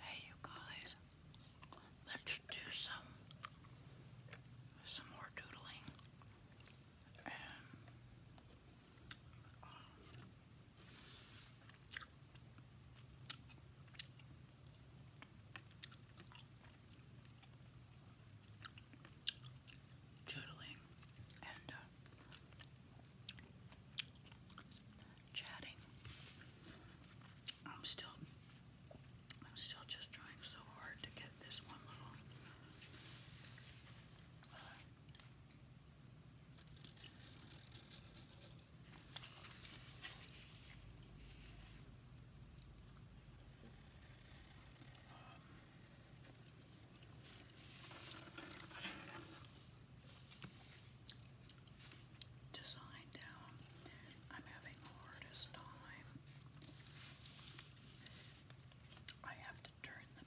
Hey you guys, let's do some some more doodling. Um, doodling and uh, chatting. I'm still, I'm still just trying so hard to get this one little. Uh, Design down. I'm having the hardest time. I have to turn the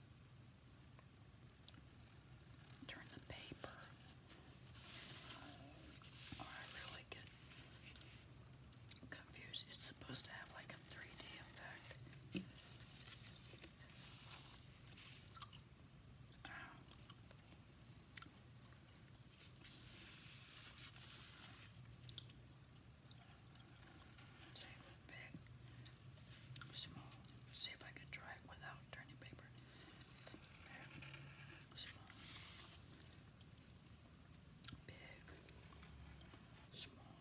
turn the paper. or I really get it's supposed to have like a 3D effect. small. See if I could try it without turning paper. small, big, small.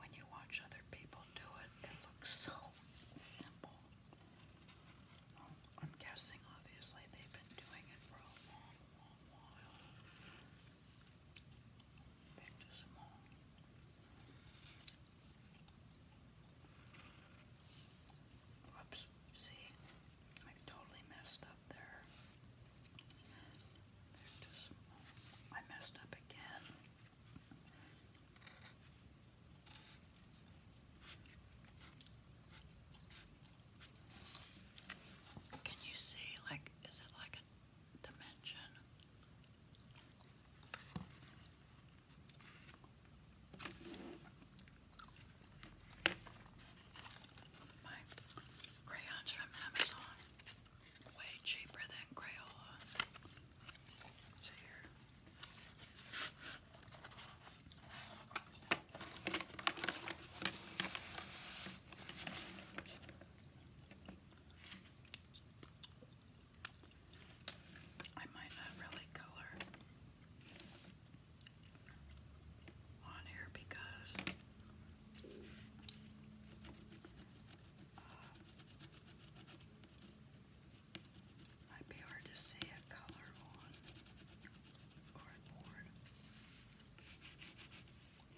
When you watch other people do it, it looks so simple. I'm guessing, obviously, they've been doing it for a long, long while. Back see? I totally messed up there. I messed up again. Can you see, like, is it like dimension. My crayons from Amazon, way cheaper than Crayola. It's here. I might not really color on here because uh, might be hard to see a color on cardboard.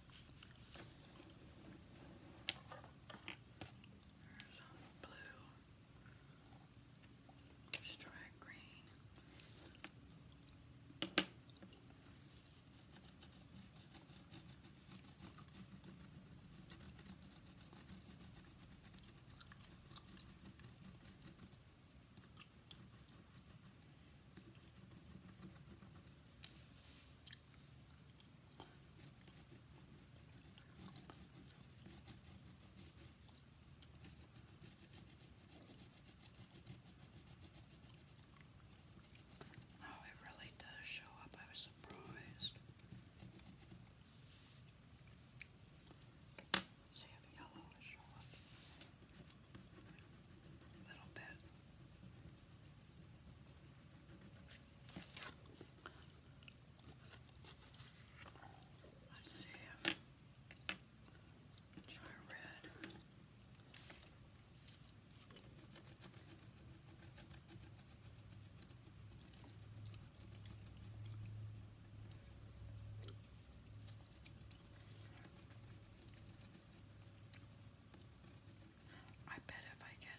There's some blue. Let's try green. Let's Oh, it really does show up. I was surprised. See if yellow will show up a little Let's see. Try red. I bet if I get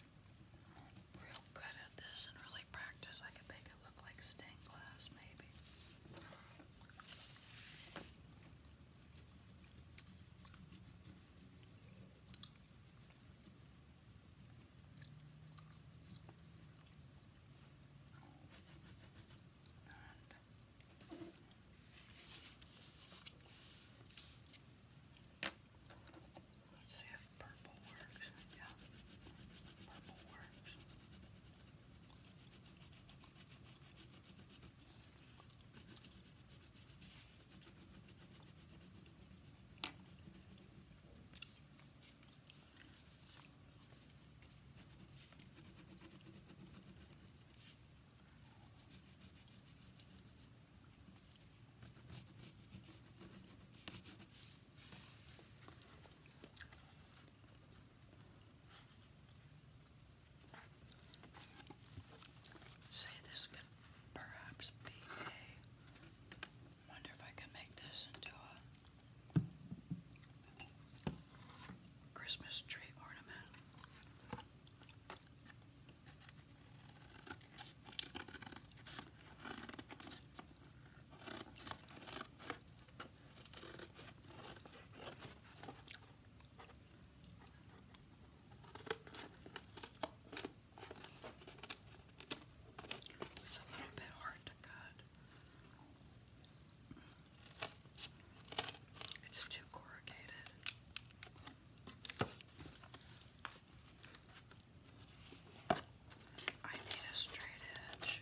real good at this and really practice, I could make it look like stained glass, maybe. Let's see if purple works. Yeah, purple works this could perhaps be a. Wonder if I can make this into a Christmas tree ornament. It's a little bit hard to cut. It's too corrugated. I need a straight edge.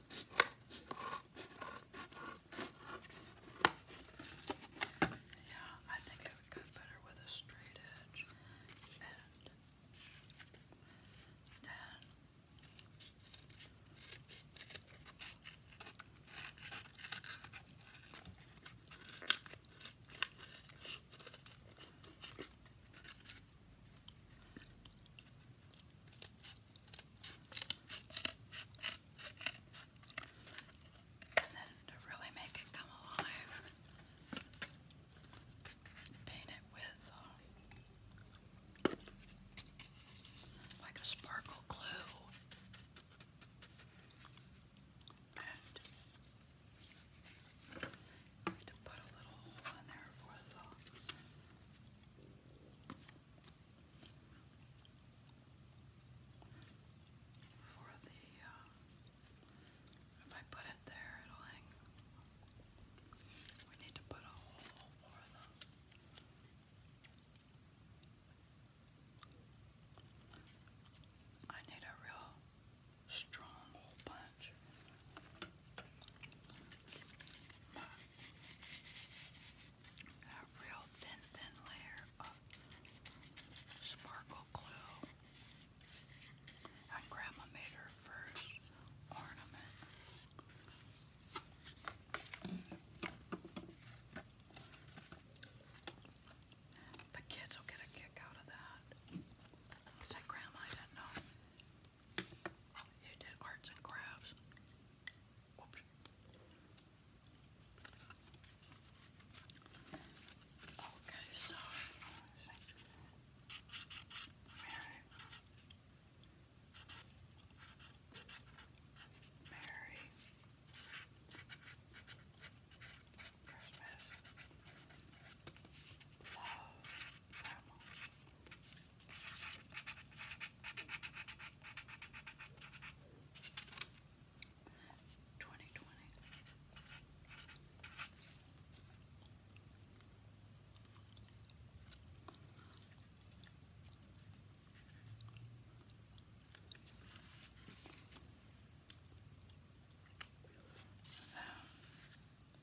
Yeah, I think it would go better with a straight edge. And then and then to really make it come alive, paint it with um, like a sparkle glue to put a little hole in there for the for the uh, if I put it there it'll hang. We need to put a hole for the I need a real strong punch a real thin, thin layer of sparkle glue. And Grandma made her first ornament. The kids will get a kick out of that. Grandma, I didn't know who did arts and crafts. Whoops. Okay, so Mary, Mary, Christmas, love, Twenty twenty. Um,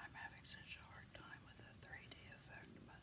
I'm having such a hard time with the 3D effect, but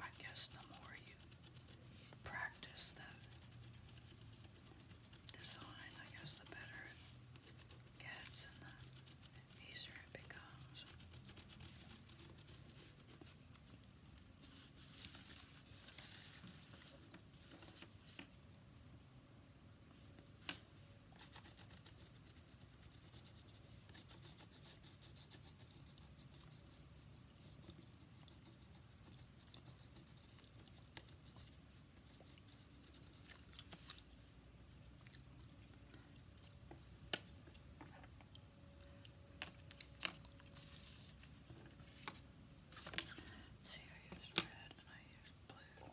I guess the more you practice the design, I guess the better it gets and the easier it becomes. Let's see, I used red and I used blue.